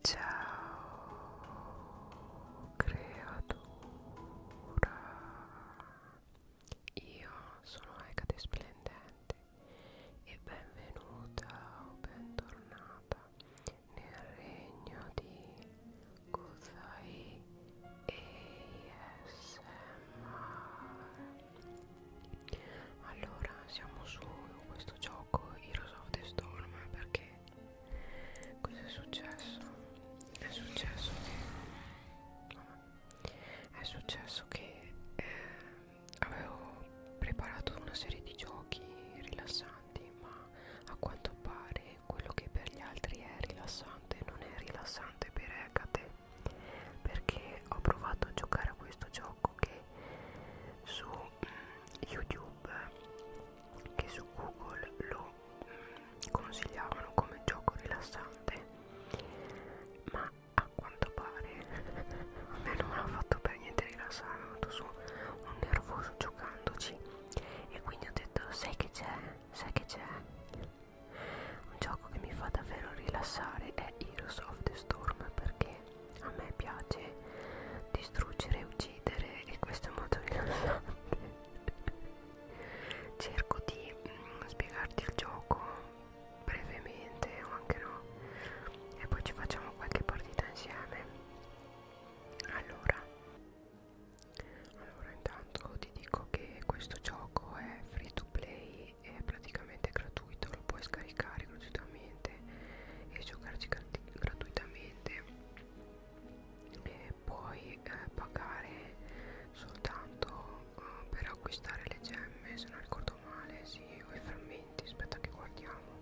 Ciao creatura Io sono Ecate Splendente e benvenuta o bentornata nel regno di Kuzai ASMR Allora siamo su questo questo gioco Heroes of the Storm perché cosa è successo? È successo che vabbè, è successo che eh, avevo preparato una serie di giochi rilassanti, ma a quanto pare quello che per gli altri è rilassante non è rilassante per Hecate perché ho provato a giocare a questo gioco che su mh, mm, YouTube che su Google lo mh, mm, consigliavano come gioco rilassante, ma a quanto pare a me non ha fatto per niente rilassare, ho avuto su un nervoso giocandoci e quindi ho detto sai che c'è, sai che c'è, un gioco che mi fa davvero rilassare è Heroes of the Storm perché a me piace distruggere e uccidere e questo è molto rilassante cerco di mm, spiegarti il gioco brevemente o anche no e poi ci facciamo qualche partita insieme allora allora intanto ti dico che questo gioco è free to play è praticamente gratuito lo puoi scaricare gratuitamente gratuitamente e giocarci gratuitamente e puoi eh, pagare soltanto eh, per acquistare le gemme se non ricordo male sì o i frammenti aspetta che guardiamo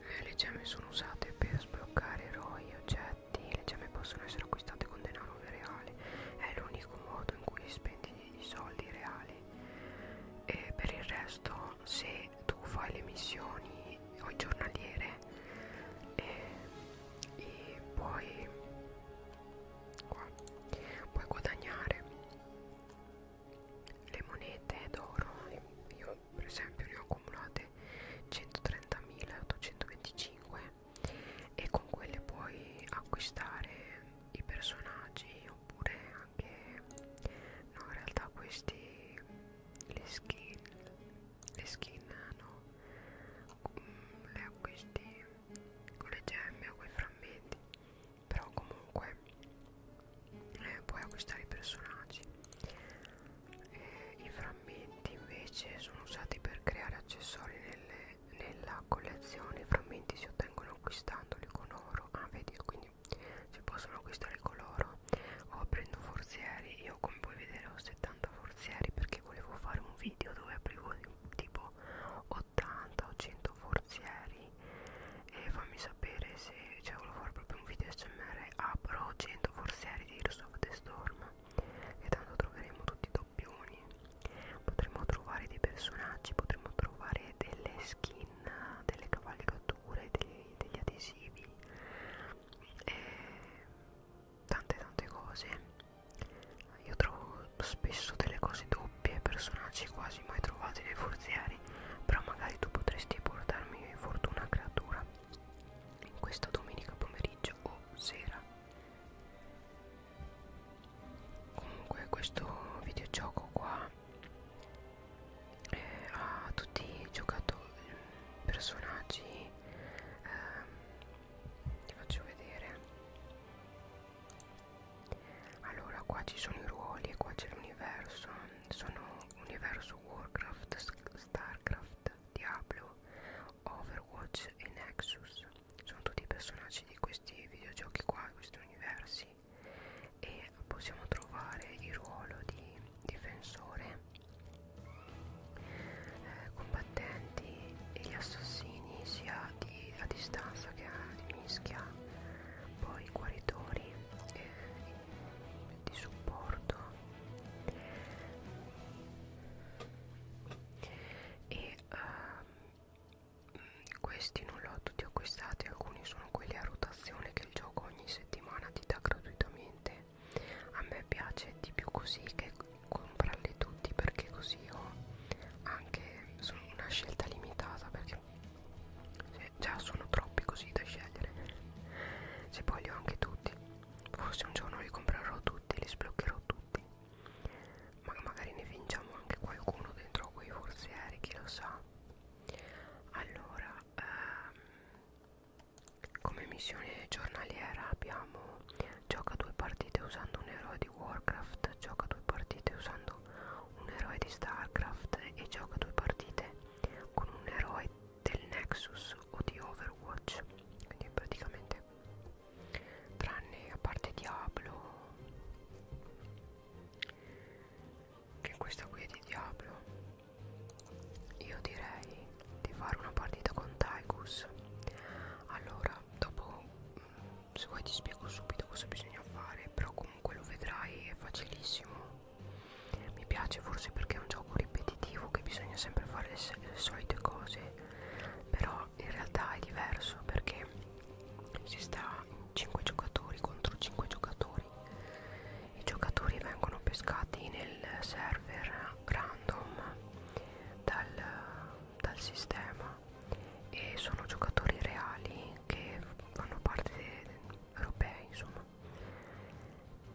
eh, le gemme sono usate per sbloccare eroi oggetti le gemme possono essere acquistate con denaro reale è l'unico modo in cui spendi di soldi reali e per il resto se tu fai le missioni o giornaliere e, e puoi, qua, puoi guadagnare le monete d'oro io per esempio ne ho accumulate 130.825 e con quelle puoi acquistare i personaggi oppure anche no in realtà questi le skin le skin no mm, le acquisti con le gemme o con i frammenti però comunque eh, puoi acquistare i personaggi eh, i frammenti invece sono usati per creare accessori nelle, nella collezione i frammenti si ottengono acquistandoli con oro ah vedi qui quindi si possono acquistare il coloro o prendo forzieri io come puoi vedere ho 70 forzieri perché volevo fare un video dove aprivo tipo 80 o 100 forzieri e fammi sapere se cioè volevo fare proprio un video smr apro 100 forzieri di Heroes of the Storm e tanto troveremo tutti i doppioni potremmo trovare dei personaggi potremmo trovare delle skin delle cavalcature, dei, degli adesivi e tante tante cose. Io trovo spesso delle cose doppie, personaggi quasi mai trovati nei forzieri, però magari tu potresti portarmi fortuna creatura questa domenica pomeriggio o sera. Comunque questo videogioco qua eh, a tutti i giocatori personaggi ehm, ti faccio vedere allora qua ci sono i ruoli e qua c'è l'universo sono universo warcraft starcraft diablo overwatch e nexus sono tutti i personaggi di questi videogiochi qua di questi universi e possiamo trovare il ruolo di difensore eh, combattenti e gli assassini sia di, a distanza che a di mischia poi i guaritori eh, di supporto e eh, questi non li ho tutti acquistati alcuni sono quelli a rotazione che il gioco ogni settimana ti dà gratuitamente a me piace di più così che comprarli tutti perché così ho anche sono una scelta limitata perché già sono troppi così da scegliere se voglio anche tutti forse un giorno li comprerò tutti li sbloccherò tutti ma magari ne vinciamo anche qualcuno dentro quei forzieri chi lo sa allora ehm, come missione giornaliera abbiamo gioca due partite usando un eroe di Warcraft gioca due partite usando un eroe di Starcraft e gioca due partite con un eroe del Nexus o di Overwatch quindi praticamente tranne a parte Diablo che questa qui è di Diablo io direi di fare una partita con Tygus allora dopo mm, se vuoi ti spiego subito cosa bisogna fare però comunque lo vedrai è facilissimo mi piace forse perché è un gioco ripetitivo che bisogna sempre fare le, le solite cose però in realtà è diverso perché si sta in 5 giocatori contro 5 giocatori i giocatori vengono pescati nel server random dal, dal sistema e sono giocatori reali che fanno parte europei insomma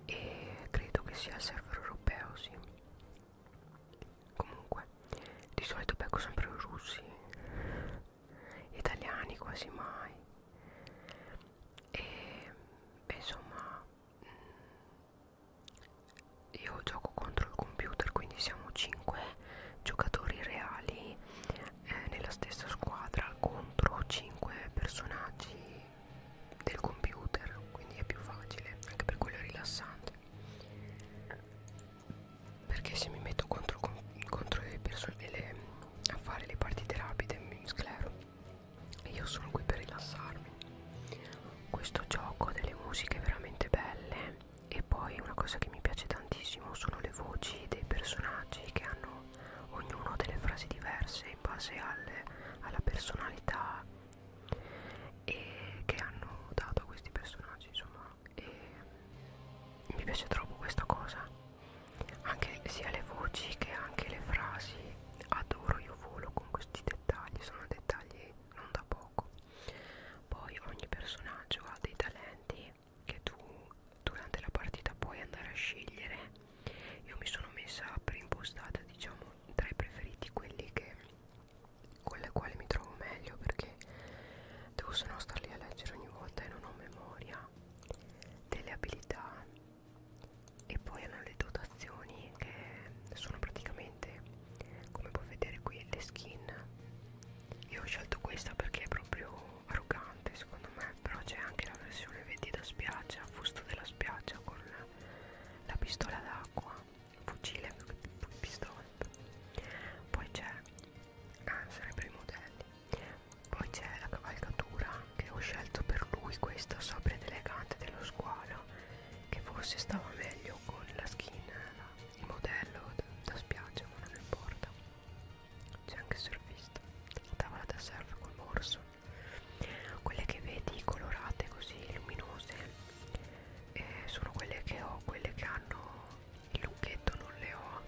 e credo che sia il server europeo sì comunque di solito becco sempre russi italiani quasi mai e beh, insomma mm, io gioco contro il computer quindi siamo 5 giocatori reali eh, nella stessa squadra contro 5 personaggi del computer quindi è più facile anche per quello è rilassante perché se mi metto contro, contro le persone le, a fare le partite rapide mi sclero e io sono qui per rilassarmi questo gioco ha delle musiche veramente belle e poi una cosa che mi piace tantissimo sono le voci dei personaggi che hanno ognuno delle frasi diverse in base alle, alla personalità e che hanno dato a questi personaggi insomma e mi piace troppo questa cosa anche sia le voci che anche le frasi adoro io volo con questi dettagli sono dettagli non da poco poi ogni personaggio ha dei talenti che tu durante la partita puoi andare a scegliere io mi sono messa preimpostata diciamo tra i preferiti quelli che con le quali mi trovo meglio perché perché devo solo star lì a leggere ogni volta e non ho memoria delle abilità e poi hanno le dotazioni che sono praticamente come puoi vedere qui le skin io ho scelto questa perché è proprio arrogante secondo me però c'è anche la versione vedi da spiaggia fusto della spiaggia con la pistola d'acqua fucile pistola poi c'è ah, sarebbero i modelli poi c'è la cavalcatura che ho scelto per lui questa sobria ed elegante dello squalo che forse stava meglio con la skin la, il modello da, da spiaggia ma non importa c'è anche il surfista tavola da surf col morso quelle che vedi colorate così luminose eh, sono quelle che ho quelle che hanno il lucchetto non le ho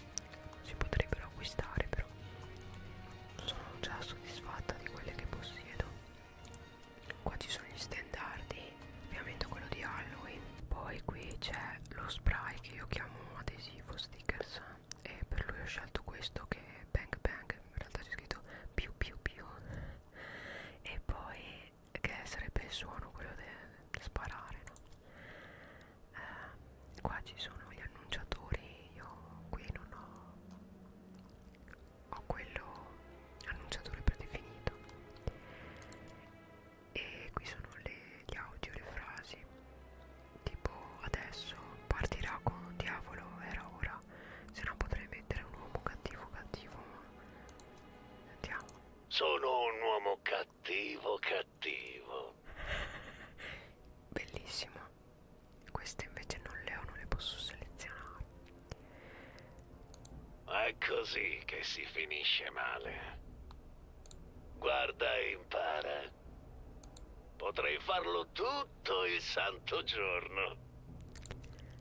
si potrebbero acquistare però sono già soddisfatta di quelle che possiedo qua ci sono gli standardi ovviamente quello di Halloween poi qui c'è lo spray che io chiamo adesivo stickers e per lui ho scelto questo che è bang bang in realtà c'è scritto più più più e poi che sarebbe il suono quello di sparare no? eh, qua ci sono gli annunciatori io qui non ho ho quello annunciatore predefinito e qui sono le, gli audio le frasi tipo adesso partirà con diavolo era ora se no potrei mettere un uomo cattivo cattivo sentiamo sono un uomo cattivo cattivo cattivo bellissimo queste invece non le ho non le posso selezionare è così che si finisce male guarda e impara potrei farlo tutto il santo giorno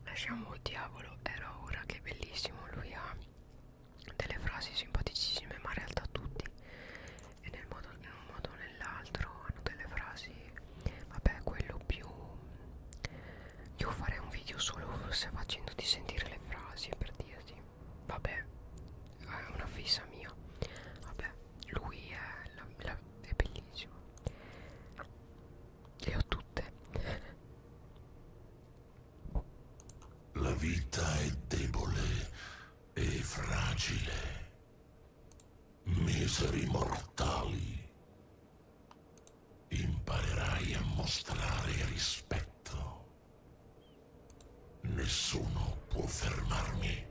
lasciamo il diavolo era ora che bellissimo lui ha delle frasi simpaticissime ma in realtà tutti e nel modo, in un modo o nell'altro hanno delle frasi vabbè quello più io farei un video solo se facendoti sentire le frasi per dirti vabbè è una fissa mia vabbè lui è, la, la, è bellissimo le ho tutte la vita è debole e fragile. Miseri mortali, imparerai a mostrare rispetto. Nessuno può fermarmi.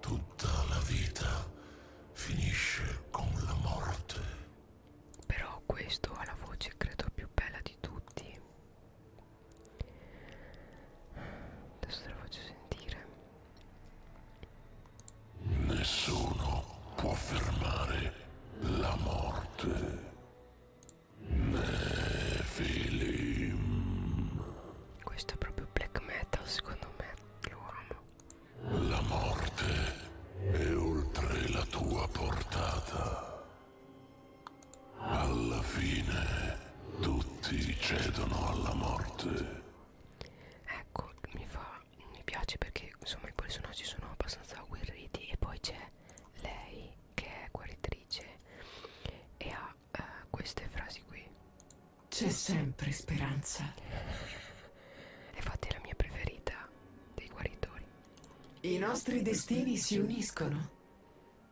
Tutta la vita finisce con la morte. Però questo ha la voce credo più bella di tutti. Adesso te lo faccio sentire. Nessuno può fermare la morte. Nefilim. Questo è proprio black metal, secondo me. Lo amo. La morte è oltre la tua portata. Alla fine tutti cedono alla morte. Ecco, mi fa mi piace perché insomma i personaggi sono abbastanza agguerriti e poi c'è lei che è guaritrice e ha eh, queste frasi qui. C'è sempre speranza. Infatti è la mia preferita dei guaritori. I nostri destini si uniscono.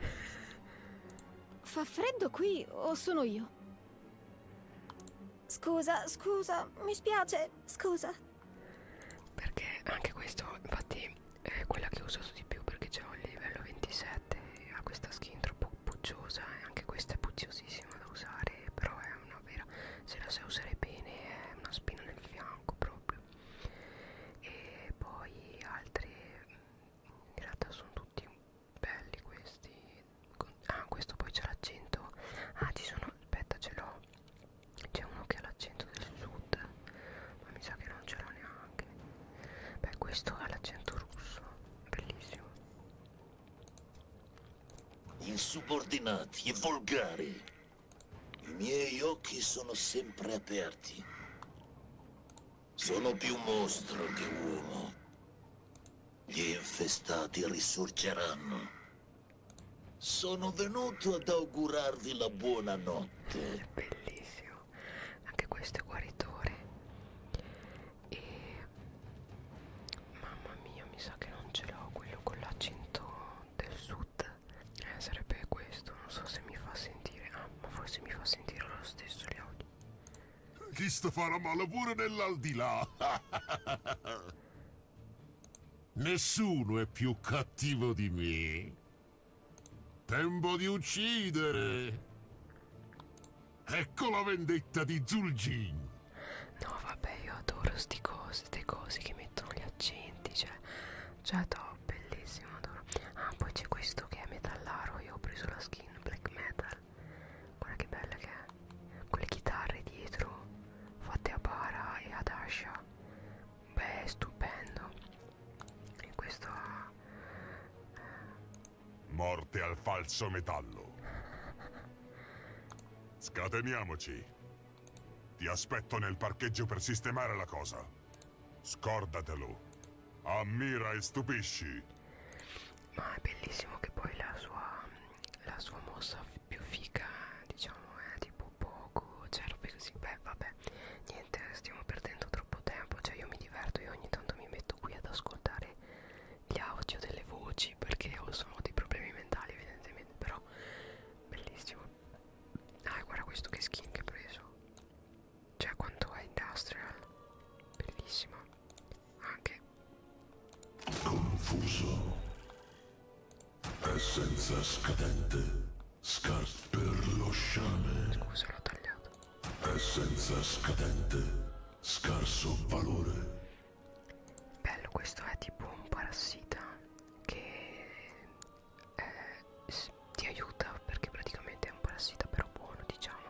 Fa freddo qui o sono io? Scusa, scusa, mi spiace, scusa. Perché anche questo, infatti, è quella che ho usato di più perché c'è un livello 27 e ha questa skin troppo pucciosa e anche questa è pucciosissima da usare, però è una vera, se la sai usare bene è una spina nel fianco proprio. E poi altre, in realtà sono tutti belli questi ah questo poi c'è l'accento ah ci sono aspetta ce l'ho c'è uno che ha l'accento del sud ma mi sa che non ce l'ho neanche beh questo ha l'accento russo bellissimo insubordinati e volgari i miei occhi sono sempre aperti sono più mostro che uomo. Gli infestati risorgeranno. Sono venuto ad augurarvi la buona notte. Bellissimo. Anche questo è guaritore. E mamma mia, mi sa che non ce l'ho quello con l'accento del sud. Eh, sarebbe questo, non so se mi fa sentire. Ah, ma forse mi fa sentire lo stesso gli audio. Chist farà male pure nell'aldilà. Nessuno è più cattivo di me. Tempo di uccidere. Ecco la vendetta di Zul'jin. No, vabbè, io adoro sti cose, ste cose che mettono gli accenti, cioè, cioè, top, bellissimo, adoro. Ah, poi c'è questo che è metallaro, io ho preso la, skin black metal guarda che bella che è con le chitarre dietro fatte a Bara e ad Asha beh stupendo e questo ha eh, morte al falso metallo scateniamoci ti aspetto nel parcheggio per sistemare la cosa scordatelo Ammira e stupisci. Ma è bellissimo che poi la sua, la sua mossa più figa, diciamo, è tipo poco, cioè robe così. Beh, vabbè, niente, stiamo perdendo troppo tempo, cioè io mi diverto e ogni tanto mi metto qui ad ascoltare gli audio delle voci perché ho solo dei problemi mentali evidentemente, però bellissimo. Ah, guarda questo che skin che ho preso cioè quanto è industrial bellissimo anche confuso essenza scadente scarso per lo sciame scusa l'ho tagliato essenza scadente scarso valore bello questo è tipo un parassita che eh, ti aiuta perché praticamente è un parassita però buono diciamo gennaio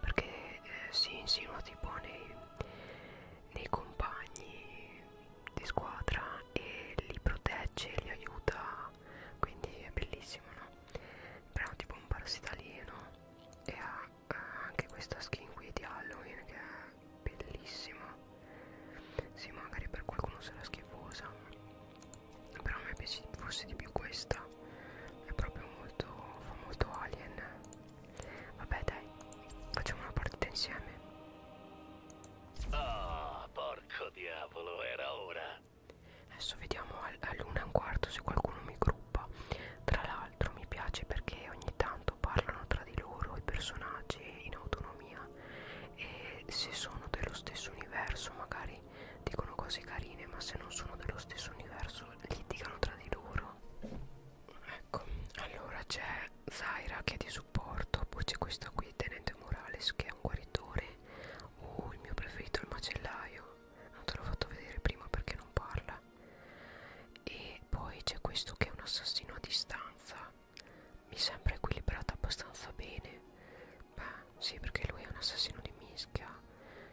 perché eh, si insinua tipo nei, nei compagni di squadra e li protegge e li aiuta quindi è bellissimo no? però tipo un parassita alieno e ha eh, anche questa skin qui di Halloween che è bellissima sì magari per qualcuno sarà schifosa però a me piace forse di più questa è proprio molto fa molto alien vabbè dai facciamo una partita insieme oh porco diavolo era ora adesso vediamo all'una e un quarto se qualcuno mi gruppa tra l'altro mi piace perché ogni tanto parlano tra di loro i personaggi in autonomia e se sono dello stesso universo magari fuori dicono cose carine ma se non sono dello stesso universo litigano tra di loro ecco allora c'è Zaira che è di supporto poi c'è questa qui Tenente Morales che è un guaritore oh il mio preferito è il macellaio non te l'ho fatto vedere prima perché non parla e poi c'è questo che è un assassino a distanza mi sembra equilibrata abbastanza bene Beh, sì, perché lui è un assassino di mischia.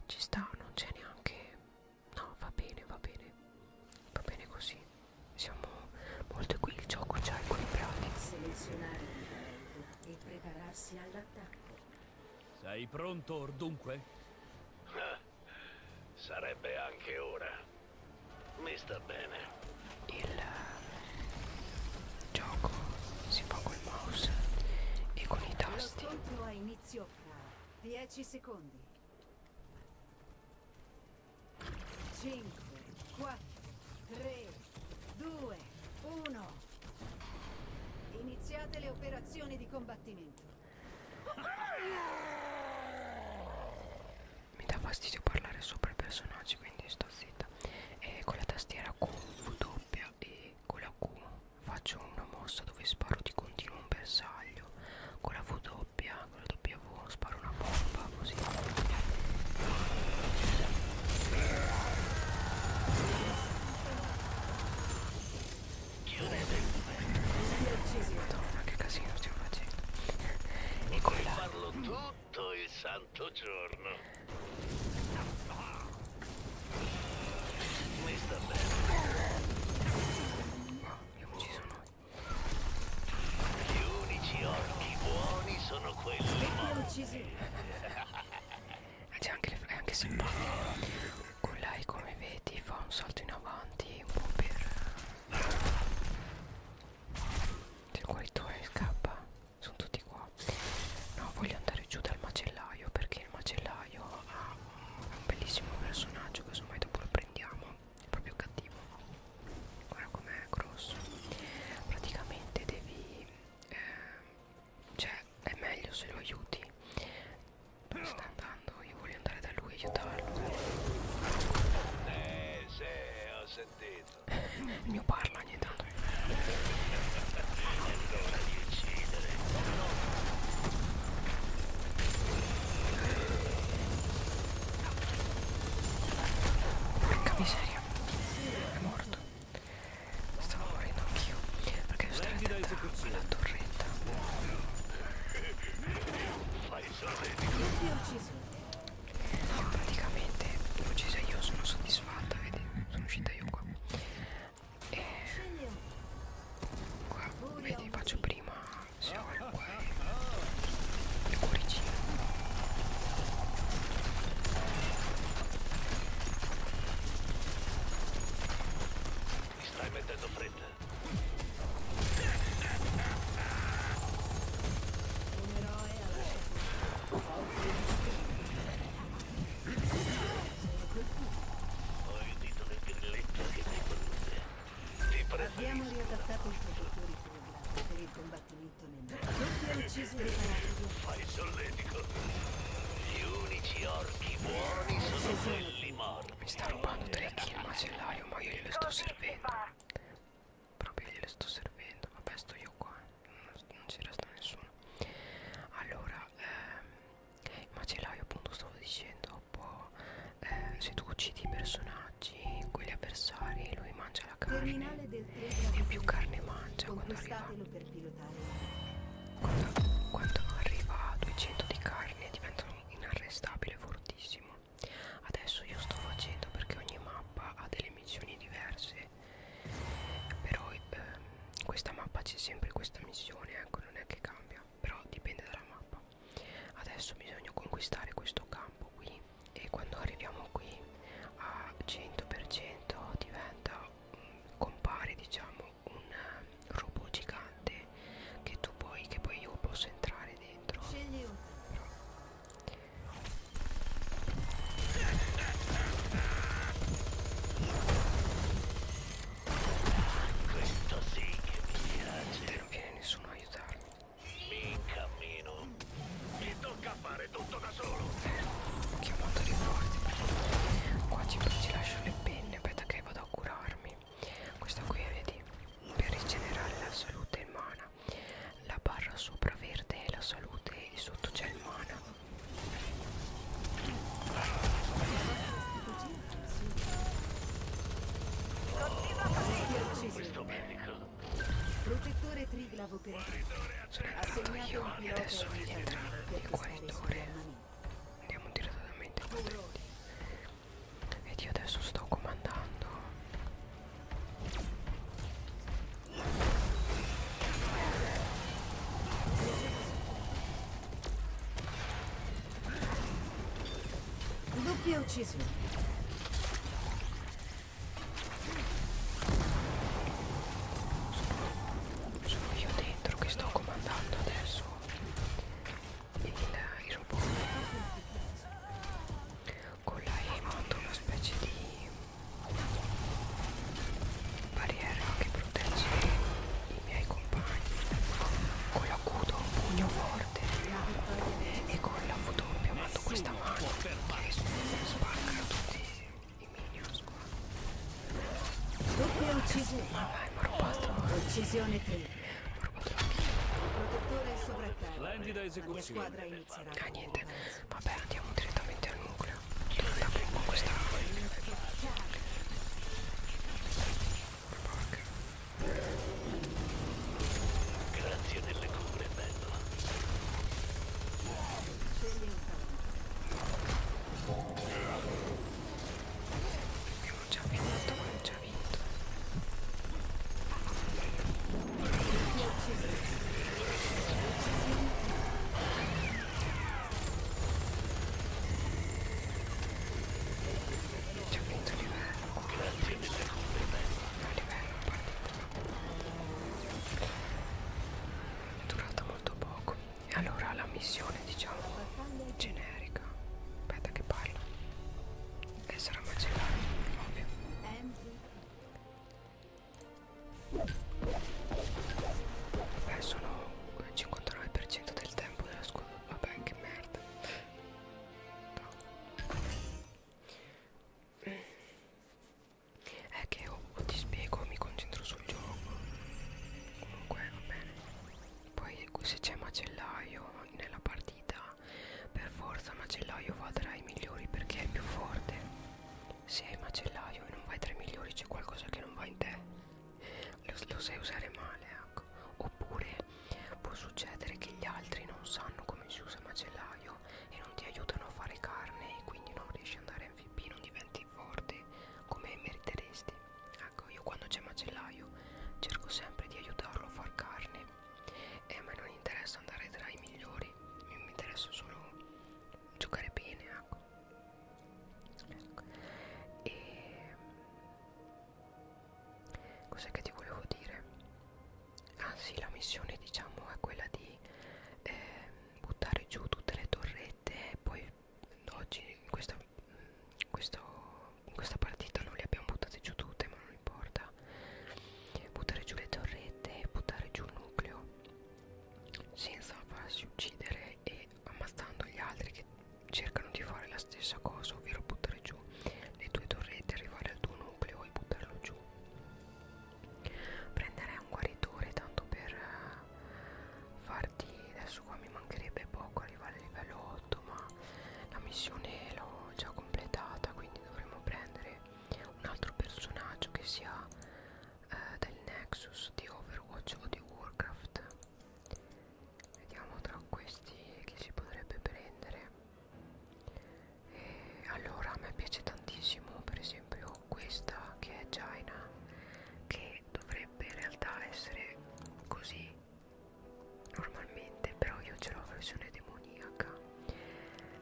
Ci sta, non c'è neanche... No, va bene, va bene. Va bene così. Siamo molto qui, il gioco già è equilibrato. Selezionare il livello e prepararsi all'attacco. Sei pronto, ordunque? Sarebbe anche ora. Mi sta bene. Il eh, gioco si fa col mouse e con i tasti posti. Conto a inizio fra 10 secondi. 5, 4, 3, 2, 1. Iniziate le operazioni di combattimento. Mi dà fastidio parlare sopra i personaggi, quindi sto zitta. E con la tastiera Q, W aria e con la Q faccio una mossa dove sparo di continuo un bersaglio con la V doppia, con la W sparo una bomba così chiudete madonna che casino stiamo facendo e con la farlo tutto il santo giorno c'è anche le è anche simpatico. Con lei come vedi fa un salto in avanti un po' per... Se il guaritore scappa, sono tutti qua però no voglio andare giù dal macellaio perché il macellaio ha un bellissimo personaggio che casomai dopo lo prendiamo è proprio cattivo guarda com'è grosso praticamente devi eh, cioè è meglio se lo aiuti dove sta andando? io voglio andare da lui e aiutarlo eh sì ho sentito il mio parla ogni tanto Porca miseria, è morto. Stavo morendo anch'io perché sto attenta alla torretta. Praticamente l'ho uccisa io, sono soddisfatta, vedi? Sono uscita io qua e qua vedi faccio prima se ho il cuore il cuoricino mi stai mettendo fretta un eroe alla ho udito le grillette che mi prende. Ti preferisco. Abbiamo riadattato i protettori Cobra per il combattimento nel Tutti ha ucciso il fanatico. Fai solletico. Gli unici orchi buoni sono quelli morti. Mi sta rubando tre kill macellario, ma io glielo sto servendo. Proprio glielo sto servendo. Vabbè, sto io qua. Non, non ci resta nessuno. Allora, allora ehm, il macellaio appunto stavo dicendo può eh, se tu uccidi i personaggi quelli avversari lui mangia la carne e più carne mangia quando arriva quando, quando arriva a 200 di carne diventa inarrestabile fortissimo adesso io sto facendo perché ogni mappa ha delle missioni diverse però ehm, questa mappa c'è sempre questa missione ecco non è che cambia però dipende dalla mappa adesso bisogna conquistare questo campo qui e quando arriviamo qui a 100% diventa mh, mm, compare diciamo un eh, robot gigante che tu puoi che poi io posso entrare dentro Scegli uno. Questo sì che mi piace. Non viene nessuno a aiutarmi. Mi cammino. Mi tocca fare tutto da solo. Chiamato riporti. Qua ci, ci lascio le penne, aspetta che vado a curarmi. Questa qui vedi. Per rigenerare la salute e il mana. La barra sopra verde è la salute e sotto c'è il mana. Questo medico. Protettore triglavo per Assegnato un pilota adesso rientra il guaritore. Andiamo direttamente contenti. Ed io adesso sto comandando. Doppia uccisione. Sono, sono io dentro che sto comandando adesso il, il robot con la emote, una specie di barriera che protegge i miei compagni con la Q do un pugno forte e con la V doppia mando questa mano che spacca tutti i minions qua doppia uccisione ma vai mi ha rubato uccisione 3 mi ha rubato la protettore sovraccarico la squadra inizierà ah niente vabbè andiamo direttamente al nucleo allora prendo questa Porca Grazie delle cure, bella Abbiamo già vinto, abbiamo già vinto Già finito il livello, ho finito il livello, partito. È durata molto poco. E allora la missione, diciamo, generica. Aspetta che parla. E sarà macellare, ovvio. Beh, sono il 59% del tempo della scuola. Vabbè, che merda. No. È eh, che o, o ti spiego o mi concentro sul gioco. Comunque, va bene. Poi, se c'è macellaio nella partita, per forza macellaio va tra i migliori perché è più forte. Se hai macellaio e non vai tra i migliori, c'è qualcosa che non va in te lo, lo sai usare male ecco. oppure può succedere che gli altri non sanno come si usa il macellaio e non ti aiutano a fare carne e quindi non riesci ad andare MVP non diventi forte come meriteresti ecco io quando c'è macellaio cerco sempre di aiutarlo a far carne e eh, a me non interessa andare tra i migliori mi interessa solo giocare bene ecco ecco. e cos'è che ti volevo dire ah sì la missione diciamo è quella di eh, buttare giù tutte le torrette e poi oggi in questa, questo, in questa partita non le abbiamo buttate giù tutte ma non importa buttare giù le torrette buttare giù il nucleo senza farsi uccidere e ammazzando gli altri che cercano di fare la stessa cosa, ovvero buttare giù le tue torrette, arrivare al tuo nucleo e buttarlo giù. Prenderei un guaritore tanto per eh, farti, adesso qua mi mancherebbe poco arrivare al livello 8, ma la missione l'ho già completata, quindi dovremmo prendere un altro personaggio che sia eh, del Nexus, di Overwatch o di Warcraft. Vediamo tra questi chi si potrebbe prendere. E allora a me piace tantissimo per esempio questa che è Jaina, che dovrebbe in realtà essere così normalmente, però io ce l'ho versione demoniaca.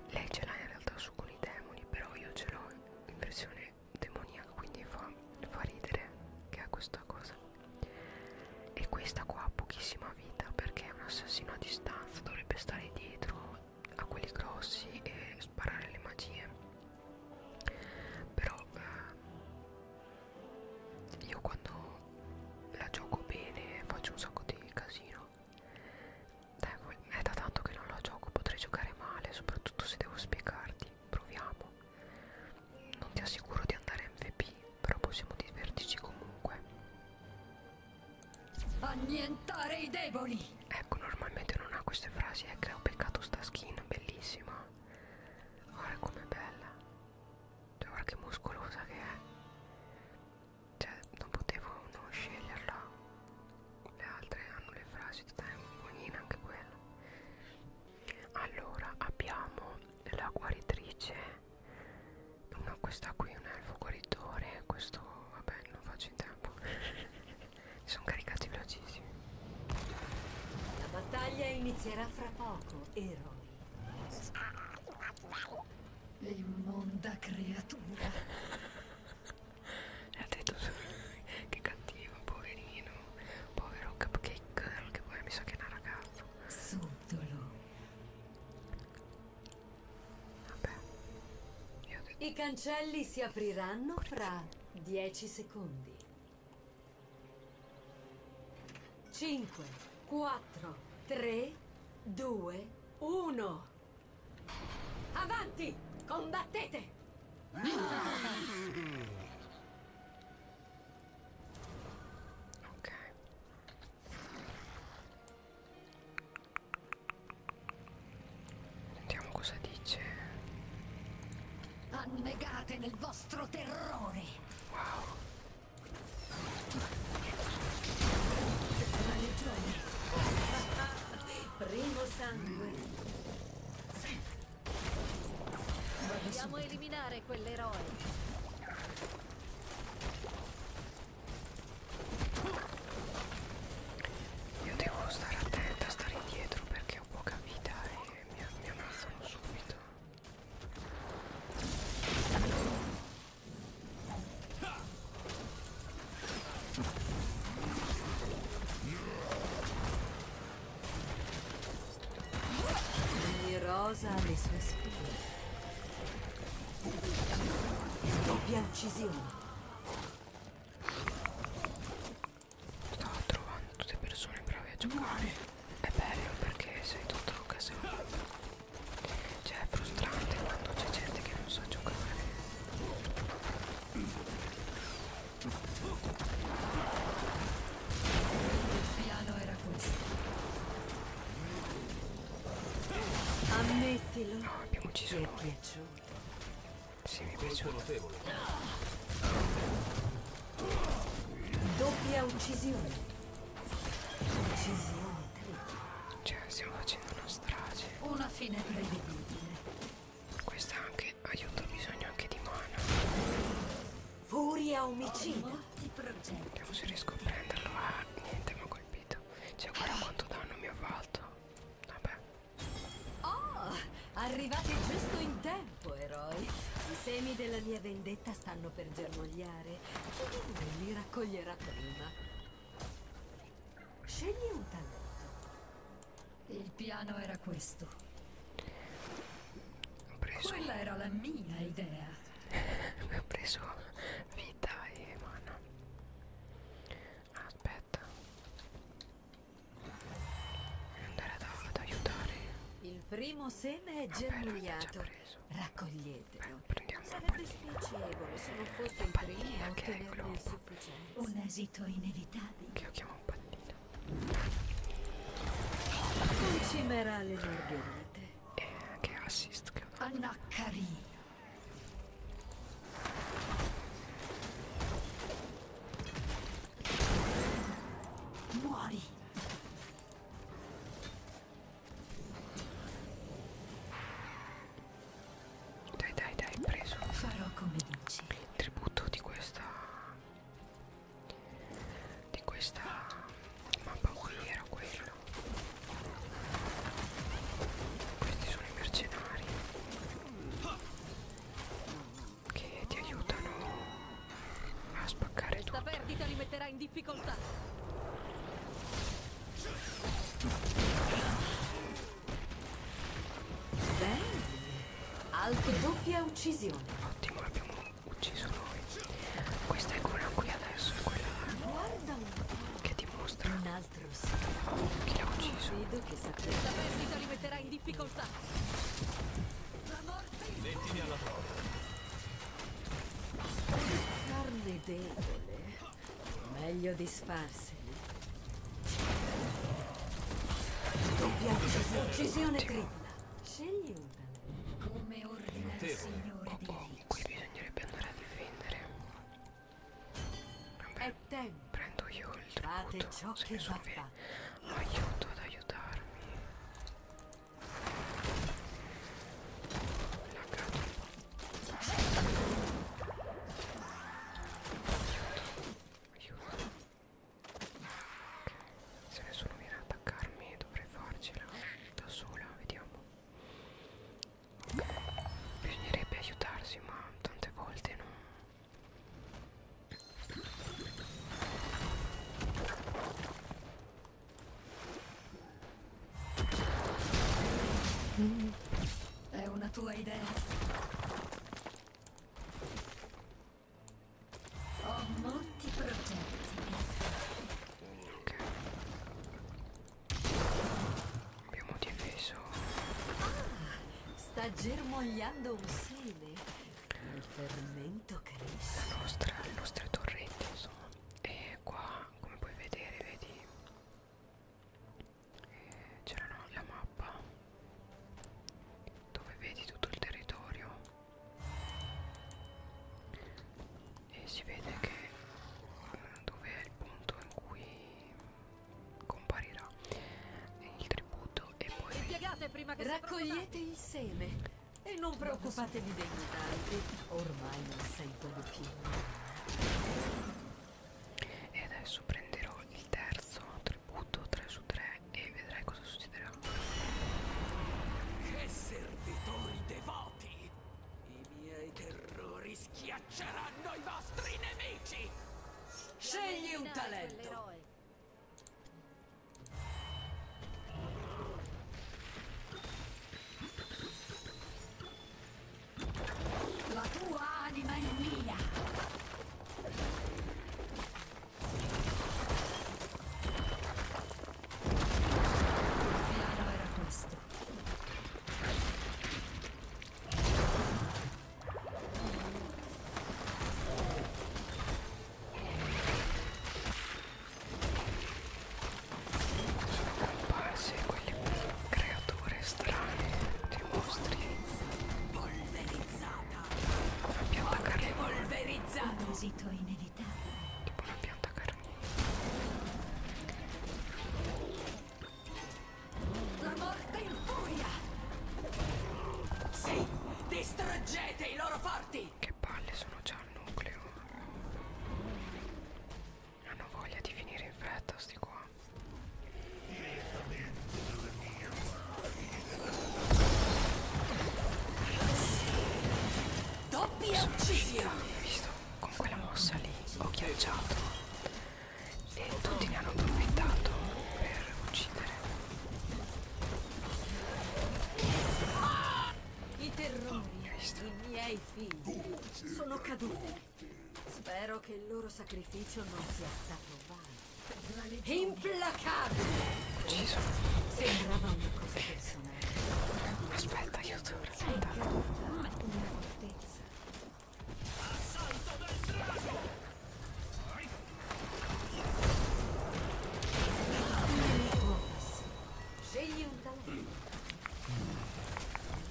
Lei ce l'ha in realtà su con i demoni, però io ce l'ho in versione demoniaco quindi fa, fa ridere che ha questa cosa e questa qua ha pochissima vita perché è un assassino a distanza dovrebbe stare dietro a quelli grossi e sparare le magie però eh, io quando la gioco bene faccio un sacco di casino dai, è da tanto che non la gioco potrei giocare male soprattutto se devo spiegarti proviamo. Non ti assicuro di andare MVP, però possiamo divertirci comunque. Annientare i deboli! Ecco, normalmente non ha queste frasi, è eh, che ho beccato sta skin, bellissima. Guarda com'è bella. Cioè, guarda che muscolosa che è. Cioè, non potevo non sceglierla le altre hanno le frasi buonina anche quella allora abbiamo la guaritrice no, questa qui non è il guaritore questo vabbè non faccio in tempo sono caricati velocissimi la battaglia inizierà fra poco eroi l'immonda creatura ha detto che cattivo, poverino, povero cupcake girl che poi mi sa che è una ragazza. Subdolo. Vabbè. Io ho detto. I cancelli si apriranno fra 10 secondi. 5, 4, 3, 2, 1. Avanti! Combattete! Ok. Sentiamo cosa dice. Annegate nel vostro terrore. Wow. Primo sangue. Dobbiamo eliminare quell'eroe. Io devo stare attenta, stare indietro perché ho poca vita e mi, mi ammazzano subito. Ogni rosa ha le sue spine. Doppia uccisione. Stavo trovando tutte persone brave a giocare. È bello perché sei tutto occasione. Cioè è frustrante quando c'è gente che non sa giocare. Il piano era questo. Ammettilo. No, abbiamo ucciso Ti è piaciuto. Sì, mi è piaciuto. Doppia uccisione. Uccisione. Cioè, stiamo facendo una strage. Una fine prevedibile. Questa anche eh, aiuto, ho bisogno anche di mana. Furia omicida. Vediamo se riesco a prenderlo. Ah, niente, mi ha colpito. Cioè, guarda quanto danno mi ha fatto. Vabbè. Oh, arrivate giusto in tempo, eroi. I semi della mia vendetta stanno per germogliare. Chi di voi li raccoglierà prima? Scegli un talento. Il piano era questo. Ho preso. Quella era la mia idea. Ho preso vita e mano. Aspetta. Voglio andare ad, ad aiutare. Il primo seme è germogliato. Raccoglietelo. Beh, Sarebbe spiacevole se non fosse il primo a ottenerne il sufficiente. Un esito inevitabile. Che lo chiamo un pallino. Cimerà le margherite. E eh, che assist che ho Anaccarino. Muori. Dai, dai, dai, preso. Farò come dici il tributo di questa di questa mappa qui era quello questi sono i mercenari che ti aiutano a spaccare tutto la perdita li metterà in difficoltà Bene. Autodoppia uccisione. Ottimo, l'abbiamo ucciso noi. Questa è quella qui adesso, è quella Guarda che dimostra un altro chi l'ha ucciso. Vedo che sa questa perdita li metterà in difficoltà. La morte. Mettimi alla prova. Carne debole. Meglio disfarsene. Doppia uccisione. Uccisione criminale. Scegli una. Come ordina il signore oh, oh, qui bisognerebbe andare a difendere. Vabbè, È tempo. Prendo io il tributo. Fate ciò che va fatto. Aiuto ad aiutarmi. Laggato. Aiuto. Aiuto. Se nessuno viene ad attaccarmi dovrei farcela da sola, vediamo. Ok, bisognerebbe aiutarsi ma tante volte non... Mm. È una tua idea. Ho molti progetti. Ok. Abbiamo difeso. Ah, sta germogliando un seme. Il fermento cresce. La nostra, le nostre torrette, insomma. E qua, come puoi vedere, vedi. C'era no, la mappa dove vedi tutto il territorio e si vede che eh, dove è il punto in cui comparirà il tributo e poi Impiegate prima che raccogliete il seme e non preoccupatevi dei mutanti ormai non sentono più e adesso prenderò il terzo tributo 3 su 3 e vedrai cosa succederà. Che servitori devoti! I miei terrori schiacceranno i vostri nemici! Scegli un talento! La tua anima è mia! Sono comparse quelle creature strane dei mostri polverizzata pianta carnivora. Tipo una pianta carnivora. La morte in furia! Sì, distruggete i loro forti! Che palle sono già al nucleo. Non ho voglia di finire in fretta, sti qua. Doppia uccisione! visto? Con quella mossa lì ho ghiacciato e tutti ne hanno approfittato per uccidere. I terrori, i miei figli, sono caduti. Spero Spero che il loro sacrificio non sia stato vano. Implacabile! Ucciso. Sembrava una cosa personale. Aspetta, io ti ho una fortezza. Assalto del drago! Scegli un talento.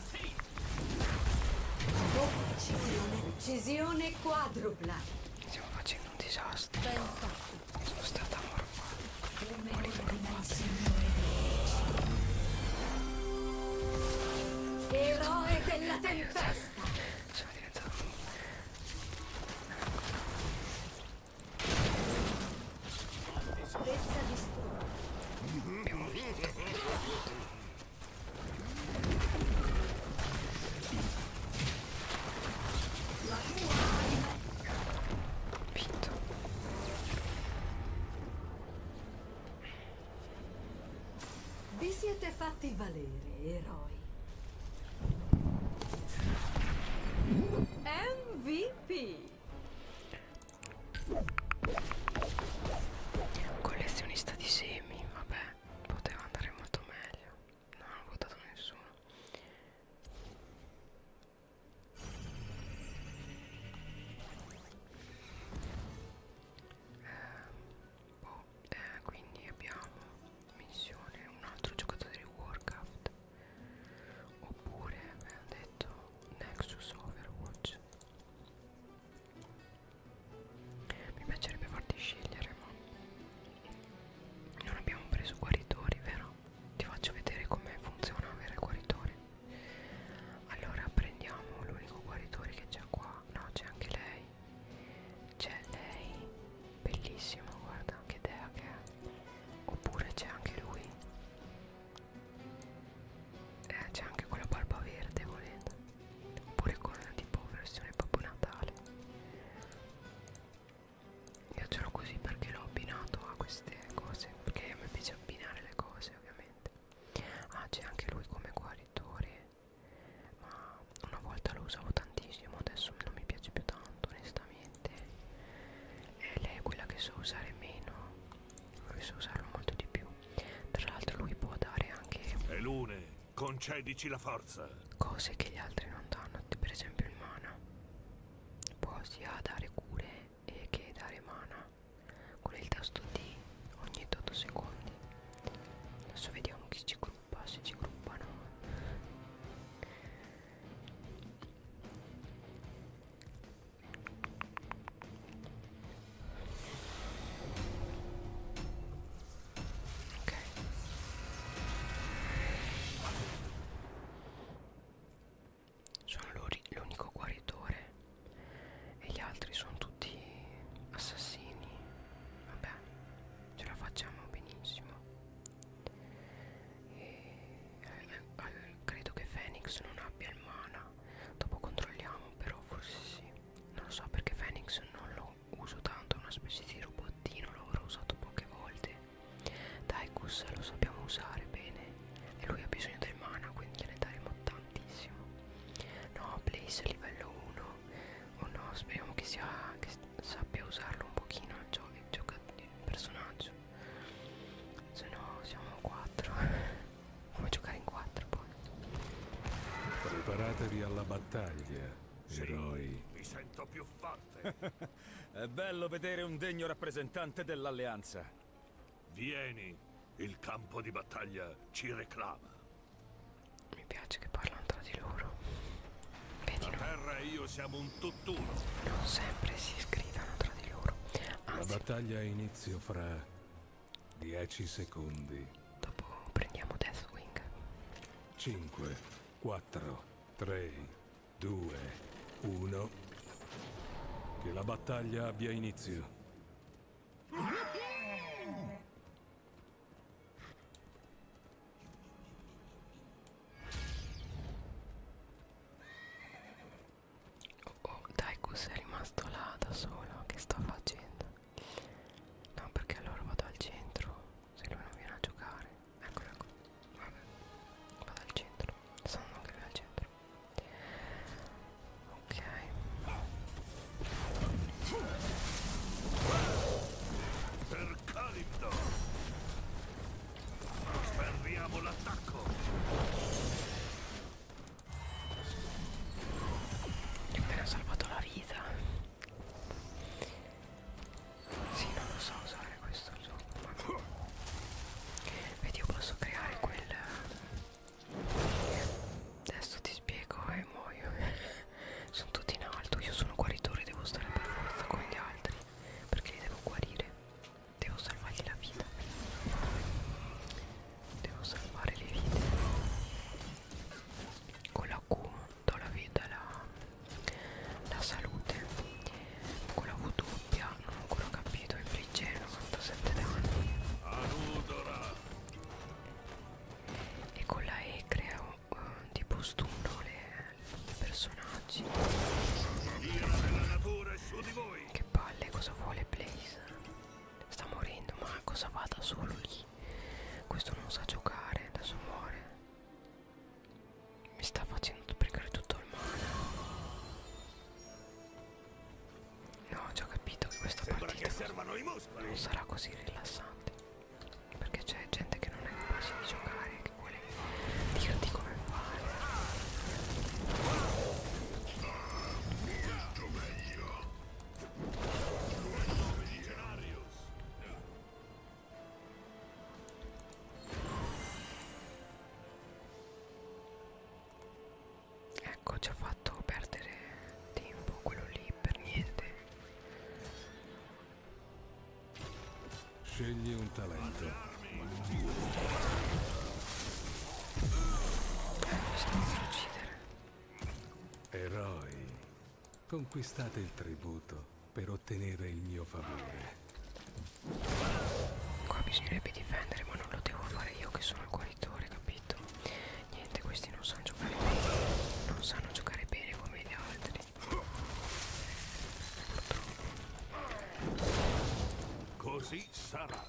Sì! Uccisione, uccisione quadrupla. Stiamo facendo un disastro. Sono stata morfata. Polimorfata. Eroe della tempesta. Sono diventato Abbiamo vinto. Vinto. Vi siete fatti valere, eroi. MVP. Collezionista di semi, vabbè poteva andare molto meglio non ho votato nessuno eh, boh, eh, quindi abbiamo missione un altro giocatore di Warcraft oppure abbiamo detto Nexus Overwatch mi piacerebbe farti scegliere, ma non abbiamo preso guaritori, vero? Ti faccio vedere come funziona avere guaritore. Allora prendiamo l'unico guaritore che c'è qua. No, c'è anche lei. C'è lei, bellissimo, guarda che idea che è. Oppure c'è anche lui. Eh, c'è anche quella barba verde volendo oppure con tipo versione Babbo Natale io ce l'ho così perché l'ho abbinato a queste cose perché a me piace abbinare le cose ovviamente ah c'è anche lui come guaritore ma una volta lo usavo tantissimo adesso non mi piace più tanto onestamente e lei è quella che so usare meno che so usarlo molto di più tra l'altro lui può dare anche è lune Concedici la forza. Cose che gli altri non danno, per esempio il mana. Può sia dare cure e che dare mana con il tasto D ogni 8 secondi. Adesso vediamo chi ci gruppa, se ci gruppano. Ok. Sono l'unico guaritore e gli altri sono tutti assassini. Vabbè, ce la facciamo benissimo. E, eh, eh, credo che Phoenix non abbia il mana. Dopo controlliamo, però forse sì. Non lo so perché Phoenix non lo lo uso tanto, è una specie di robottino, l'avrò usato poche volte. Daikus lo sappiamo usare bene e lui ha bisogno del mana, quindi gliene daremo tantissimo. No, Blaze livello 1. Oh no, speriamo che, sia, che sappia usarlo un pochino il, gio il, gioca il personaggio. Se no siamo 4. Come giocare in 4 poi. Preparatevi alla battaglia. Sì, eroi. mi sento più forte. È bello vedere un degno rappresentante dell'Alleanza. Vieni, il campo di battaglia ci reclama. Mi piace che parlano tra di loro. Vedi, La no? terra e io siamo un tutt'uno. Non sempre si scrivono tra di loro. Anzi. La battaglia ha inizio fra 10 secondi. Dopo prendiamo Deathwing. 5, 4, 3, 2, 1. Che la battaglia abbia inizio. Oh, oh, Daikus è rimasto là da solo, che sta facendo? No perché allora vado al centro Se lui non viene a giocare Eccola qua Vabbè Vado al centro Sono anche lui al centro Ok Per Calipto Sferriamo l'attacco Gli ho appena salvato la vita sì, non lo so usare questo gioco. Vedi, io posso creare quel... Adesso ti spiego e muoio. sono tutti in alto, io sono guaritore, devo stare per forza con gli altri. Perché li devo guarire. Devo salvargli la vita. Devo salvare le vite con la Q do la vita la, la salute con la V doppia non ho ancora capito il friggero 97 danni e con la E creo uh, tipo stunno i personaggi che palle cosa vuole Blaze sta morendo ma cosa vada solo lì questo non sa giocare, adesso muore. Mi sta facendo pregare tutto il male. No, ho già capito che questa Sembra partita che non sarà così rilassante. Perché c'è gente che non è capace di giocare, che vuole dirti come fare. Molto meglio. Ecco, ci ha fatto perdere tempo quello lì per niente. Scegli un talento. Eh, mi sto per uccidere. Eroi. Conquistate il tributo per ottenere il mio favore. Qua bisognerebbe difendere, ma non lo devo fare io che sono il guaritore, capito? Niente, questi non sanno giocare bene. Non sanno giocare bene come gli altri. Così sarà.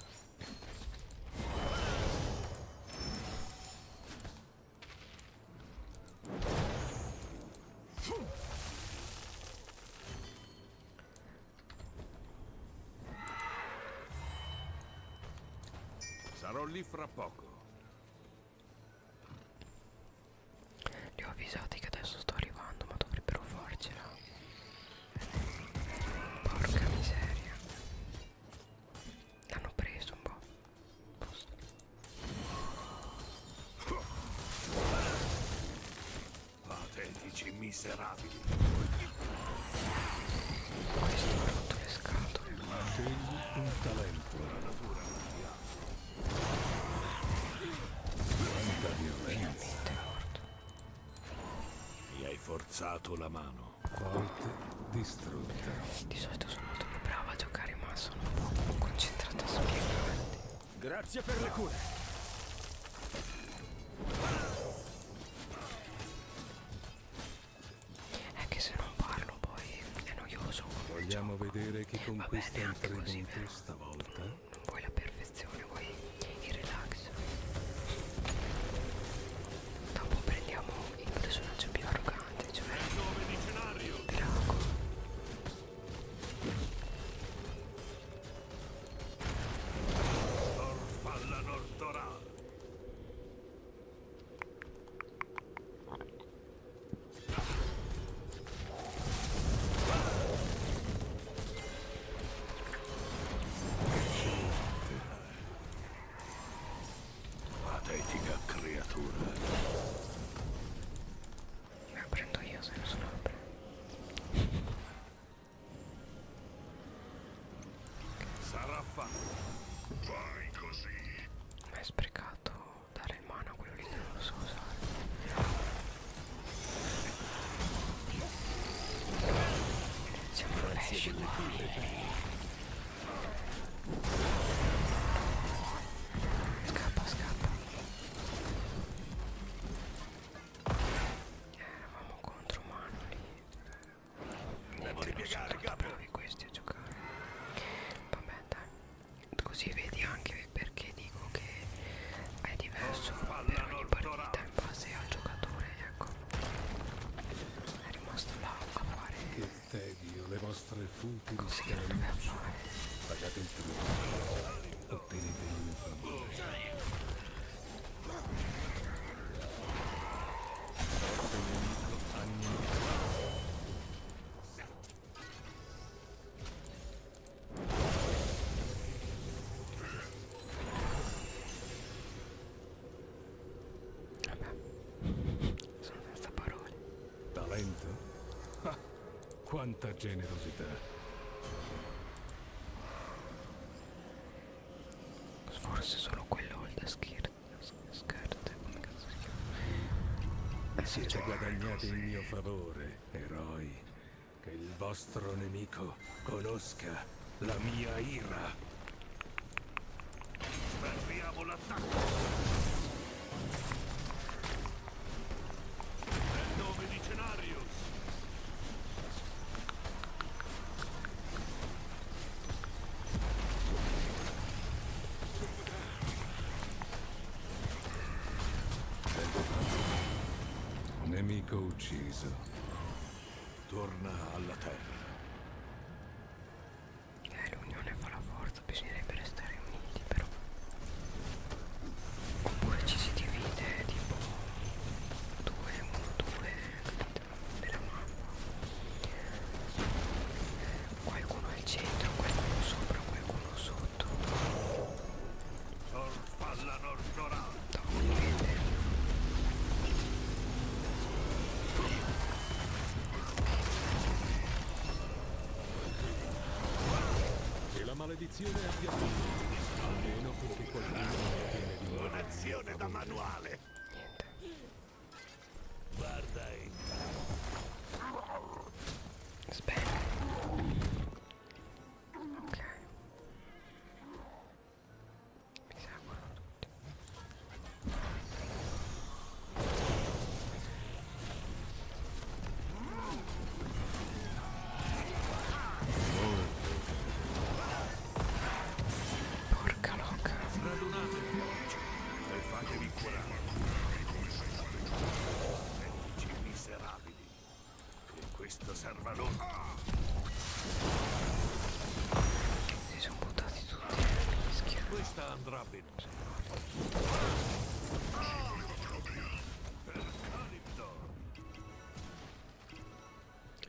Sarò lì fra poco. Li ho avvisati che adesso sto arrivando, ma dovrebbero farcela. Porca miseria. L'hanno preso un po'. Patetici miserabili. Questo ha rotto le scatole. Scegli un talento. La natura non ti ha. Quanta violenza. Mi hai forzato la mano sono a volte distrutta. Di solito sono molto più brava a giocare, ma sono un po' concentrata a spiegarti. Grazie per le cure. È eh, che se non parlo poi è noioso. Vogliamo gioco. vedere chi conquista Vabbè, il tramonto stavolta? Non, non vuoi la perfezione, vuoi il relax. Dopo prendiamo il personaggio più arrogante, cioè il drago. Patetica creatura. La prendo io se non sono apre. Sarà fatto. Fai così. Ma è sprecato dare in mano a quello lì che non lo so usare. Siamo flash qua. Scappa, scappa. Eh, eravamo contro mano lì. Niente, non sono più di questi a giocare. Vabbè, dai. Così vedi anche perché dico che è diverso per ogni partita in base al giocatore, ecco. È rimasto là a fare tedio le vostre futili scaramuzze. Pagate il prezzo, ottenete il favore. Vabbè, sono senza parole. Talento? Ah, quanta generosità. Forse solo quello o il da skirt. Come cazzo si chiama? Siete cioè, guadagnati in mio favore, eroi. Che il vostro nemico conosca la mia ira. Fermiamo l'attacco! Nel nome di Cenarius! Nemico ucciso. Torna alla Terra eh, l'unione fa la forza, bisognerebbe restare uniti però oppure ci si divide tipo 2, 1, 2 della mappa eh, qualcuno al centro, qualcuno sopra, qualcuno sotto Dovete. E la maledizione è avviata. Almeno finché qualcuno non viene di nuovo. Un'azione da manuale! Niente. Guarda intanto. Spero. Ok. Mi sa Porca loca. E fatevi curare come fate miserabili. Che questo serva loro. Si sono buttati tutti. Questa andrà Robinson. Ci voleva proprio. Per Calipto.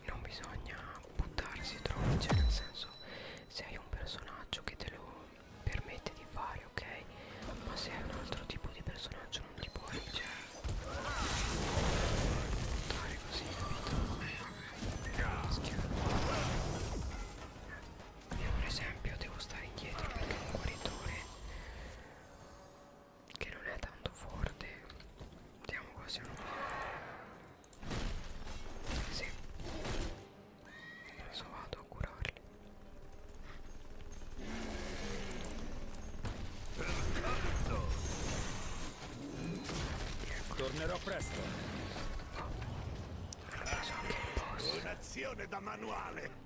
Non bisogna buttarsi troppo, cioè nel senso se hai un personaggio che te lo permette di fare, ok? Ma se hai un altro tipo di personaggio non ti puoi, cioè buttare così, capito? Schifo. Io per esempio devo stare indietro perché ho un guaritore che non è tanto forte. Vediamo quasi uno. Sì. Adesso vado a curarli. Ecco. Tornerò presto. Oh hanno preso anche il boss un'azione da manuale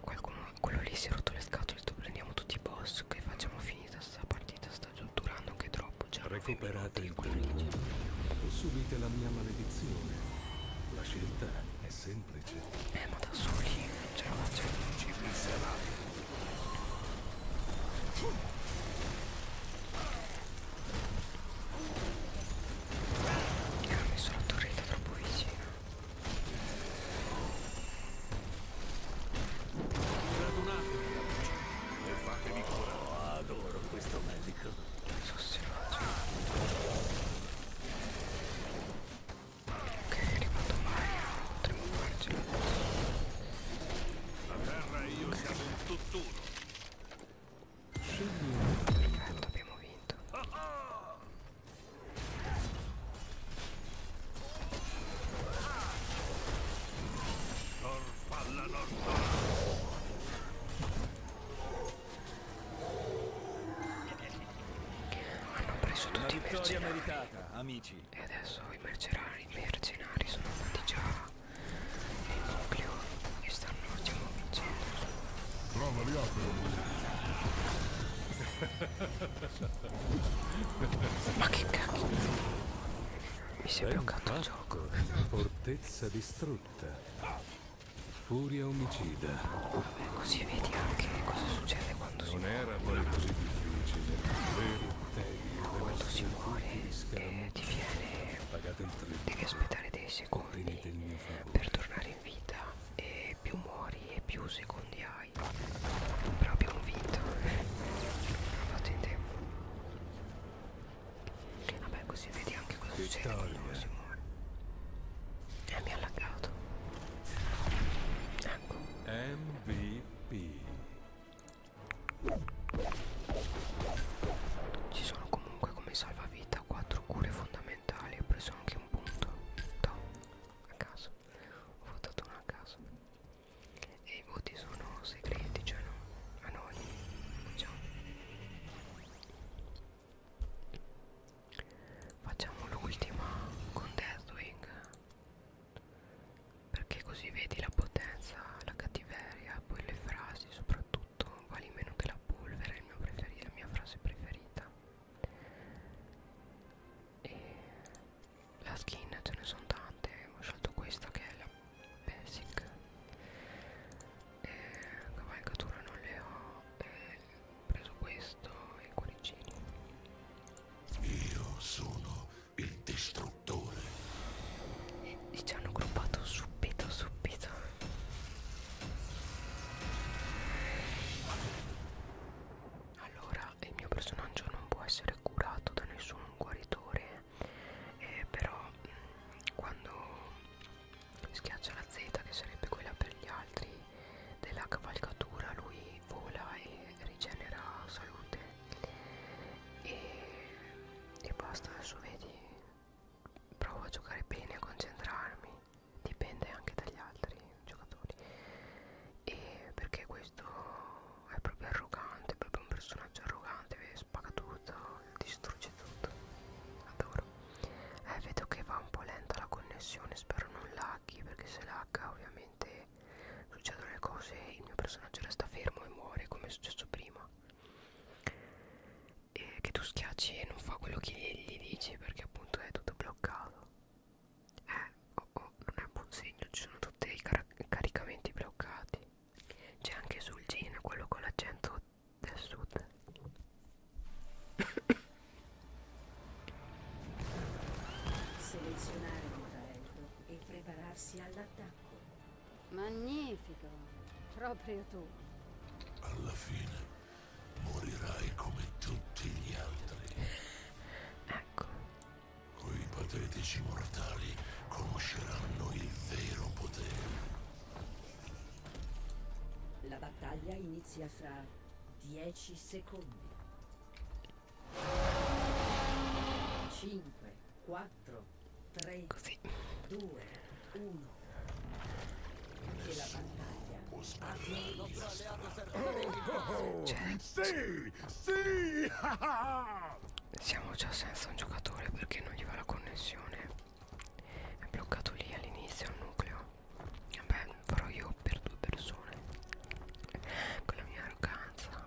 Qualcuno, quello lì si è rotto le scatole tu prendiamo tutti i boss che facciamo finita sta partita sta durando anche troppo già cioè, recuperate il turno o cioè. subite la mia maledizione la scelta è semplice eh ma da soli ce la faccio ci penserà Ah, io ho messo la torretta troppo vicino. Radunate e fatevi cura. Oh, adoro questo medico. Non so se lo Ok, è arrivato Mario, potremmo farcela. La terra e io okay. siamo un tutt'uno. Perfetto, abbiamo vinto. Hanno preso tutti i mercenari. Meritata, amici. E adesso i mercenari, i mercenari sono andati già e il nucleo che stanno diciamo vincendo prova li apro ma che cacchio mi si è bloccato il gioco fortezza distrutta furia omicida. Vabbè, così vedi anche cosa succede quando non si muore. Non era poi così difficile, vero? Quando si muore, eh, ti viene devi aspettare dei secondi per tornare in vita e più muori e più secondi hai proprio un vinto l'ho fatto in tempo vabbè così vedi anche cosa succede quando uno si muore eh, mi ha allagato ecco MVP ci sono comunque come salvavita quattro cure fondamentali Ho preso anche un punto Tom, a caso Ho votato uno a caso E i voti sono segreti Cioè no, a noi Facciamo Facciamo l'ultima con Deathwing Perché così vedi la potenza, la cattiveria, poi le frasi soprattutto tutto vale meno che la polvere, è il mio preferito, la mia frase preferita. E la skin ce ne sono tante, ho scelto questa che è la basic. E cavalcatura non le ho, e ho preso questo e i cuoricini. Io sono il distruttore e ci hanno gruppato subito subito allora il mio personaggio non può essere curato da nessun guaritore eh, però mh, mm, quando schiaccia la Z che sarebbe quella per gli altri della cavalcatura lui vola e rigenera salute e, e basta adesso vedi provo a giocare bene, a concentrarmi, dipende anche dagli altri giocatori. E perché questo è proprio arrogante, è proprio un personaggio arrogante, spaga tutto, distrugge tutto. Adoro. Eh, vedo che va un po' lenta la connessione, spero non laghi, perché se lagga ovviamente succedono le cose, il mio personaggio resta fermo e muore come è successo prima e che tu schiacci e non fa quello che gli dici perché appunto è tutto bloccato eh oh, oh, non è un buon segno ci sono tutti i car caricamenti bloccati c'è anche sul gin quello con l'accento del sud selezionare un talento e prepararsi all'attacco Magnifico, proprio tu. Alla fine morirai come tutti gli altri. Ecco. Quei patetici mortali conosceranno il vero potere. La battaglia inizia fra 10 secondi. 5, 4, 4, 3, Così. 2, 1. E la battaglia. Oh, oh, oh. Cioè, sì, sì. Siamo già senza un giocatore perché non gli va la connessione. È bloccato lì all'inizio il nucleo. Vabbè, farò io per due persone. Con la mia arroganza.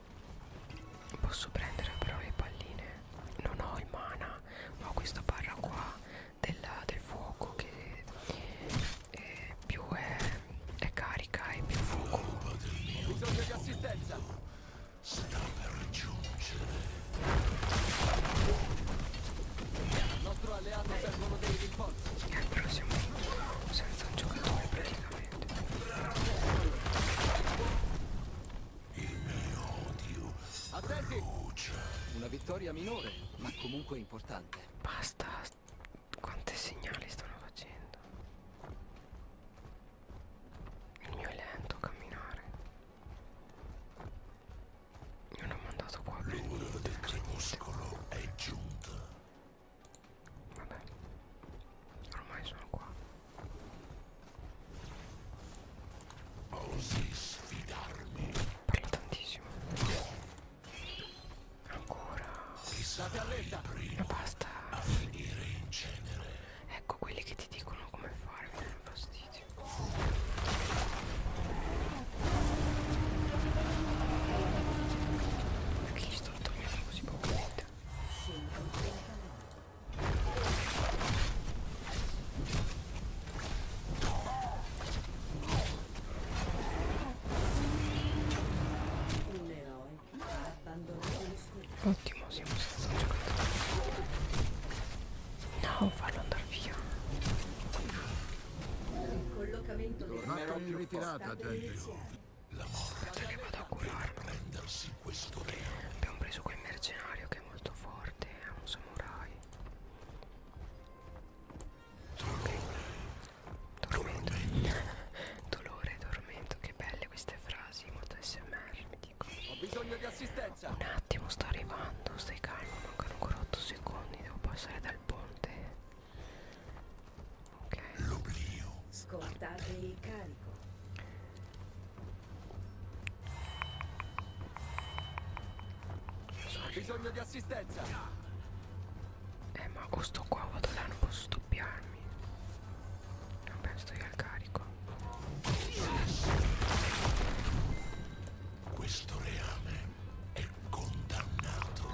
Posso prendere però le palline? Non ho il mana, ho questa barra qua della, del fuoco che eh, più è, è carica e più fuoco. Bisogno di assistenza! Sta per giungere. Al nostro alleato servono dei rinforzi. Eh, però siamo senza un giocatore praticamente veramente. Il mio odio. Attenti! Una vittoria minore, ma comunque importante. Basta. Quante segnali stanno facendo? Il mio è lento a camminare. Mi hanno mandato qua. L'ora del crepuscolo è giunta. Vabbè, ormai sono qua. Osi sfidarmi. Parla tantissimo. Ancora. Chissà Ma basta. A finire in cenere. Ecco quelli che ti dicono come fare, mi danno fastidio. Perché gli sto dormendo così poco? Sì. Ottimo, siamo senza giocatore. No, farlo andare via. Collocamento Tornate in ritirata, gente. La morte che vado a curare. prendersi questo re. Abbiamo preso quel mercenario che è molto forte, è un samurai. Dolore. Okay. Tormento. Dolore, tormento. Che belle queste frasi, molto smr, mi dico. Ho bisogno di assistenza. Un attimo, sto arrivando, stai calmo, mancano ancora 8 secondi, devo passare dal ponte. Ok. L'oblio. Scortate il carico. So Bisogno di assistenza. Eh ma o sto qua vado là, non posso doppiarmi. Non penso io al carico. Questo reame è condannato.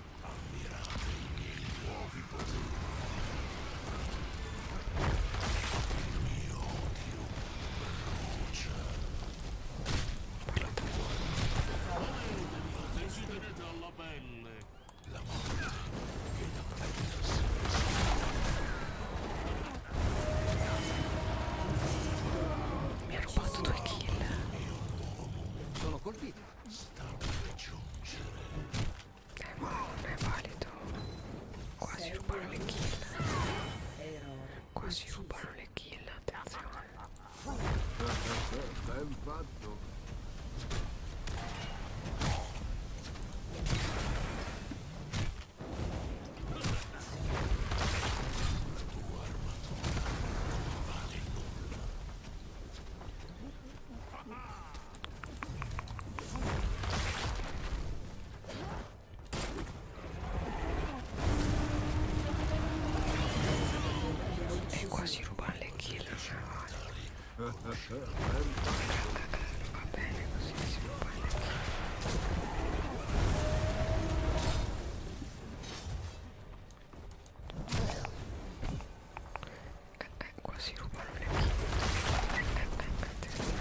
Ammirate i miei nuovi poteri. Il mio odio brucia. Parla tu. Decidere dalla pelle. La morte è da prendersi. Mi ha rubato due kill. Sono colpito sta per giungere eh ma non è valido quasi rubano le kill quasi rubano le kill attenzione ben fatto la tua armatura non vale nulla e quasi rubare le kill ai cioè, cavalli. Eh, va bene così si rubano le kill eh, eh, quasi rubano le vite eh, eh, eh, eh, eh, eh, quasi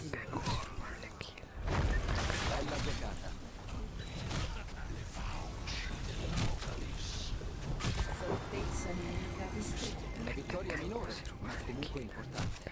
rubano le kill bella giocata le fauci dell'apocalisse fortezza nemica distrutta la vittoria minore ma comunque importante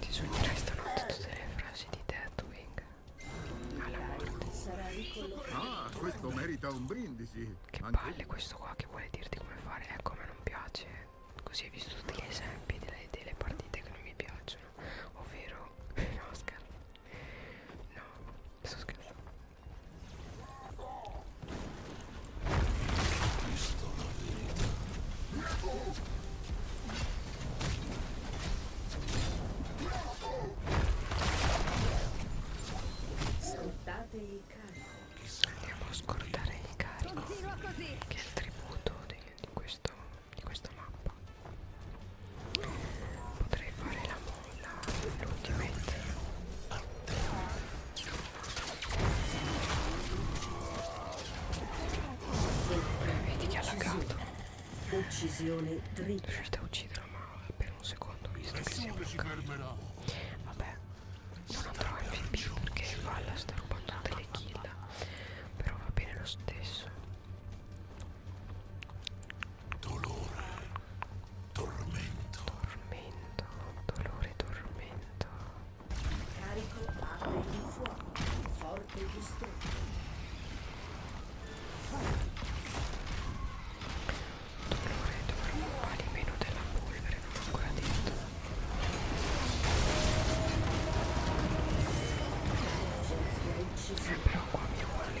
Ti sognerai stanotte tutte le frasi di Deathwing alla morte. Ah, questo merita un brindisi. Che palle questo qua che vuole dirti come fare, ecco eh, a me non piace. Così hai visto tutti gli esempi delle, delle partite che non mi piacciono, ovvero no scherzo No, sto scherzando. Visto la verità. Scortate il carico. Andiamo a scordare il carico. Che è il tributo di, di questo di questa mappa potrei fare la molla l'ultimate vedi che ha lagato uccisione riuscite a ucciderlo ma per un secondo visto che si è bloccato vabbè non andrò a MVP perché Valla sta rubando delle kill però va bene lo stesso Dolore, tormento. Tormento, dolore, tormento. Carico padre di fuoco, forte distrutto. Dolore, dolore, quali meno della polvere, non ho ancora detto. Eh, però qua mi vuole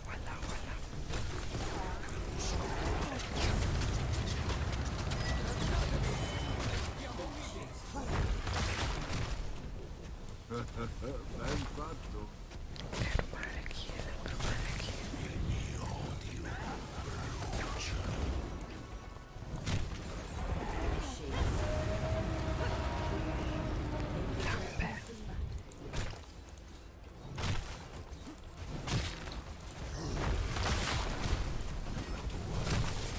voilà, voilà. Ben fatto. Per rubare la chiesa, per rubare la chiesa. Il mio odio brucia. Lampe.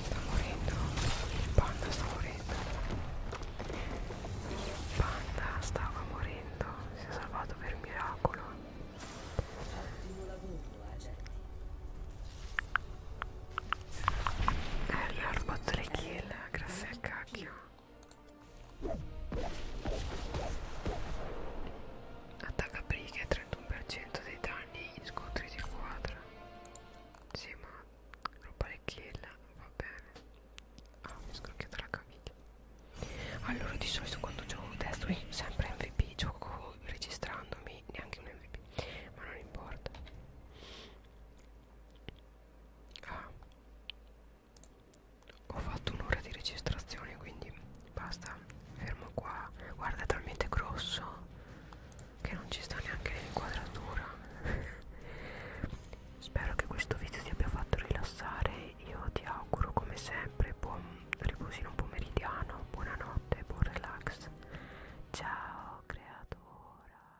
Sta morendo, il panda sta morendo. Il panda stava morendo, si è salvato per miracolo. Eh, gli ho rubato le kill, grazie al cacchio. Attacca briga e 31% dei danni in scontri di squadra. Sì, ma roba le kill, va bene. Ah, mi ho scrocchiato la caviglia. Allora, di solito quando gioco testo, io sempre MVP, gioco registrandomi, neanche un MVP, ma non importa. Ah, ho fatto un'ora di registrazione quindi basta fermo qua guarda è talmente grosso che non ci sta neanche l'inquadratura spero che questo video ti abbia fatto rilassare io ti auguro come sempre buon riposino pomeridiano buonanotte buon relax ciao creatora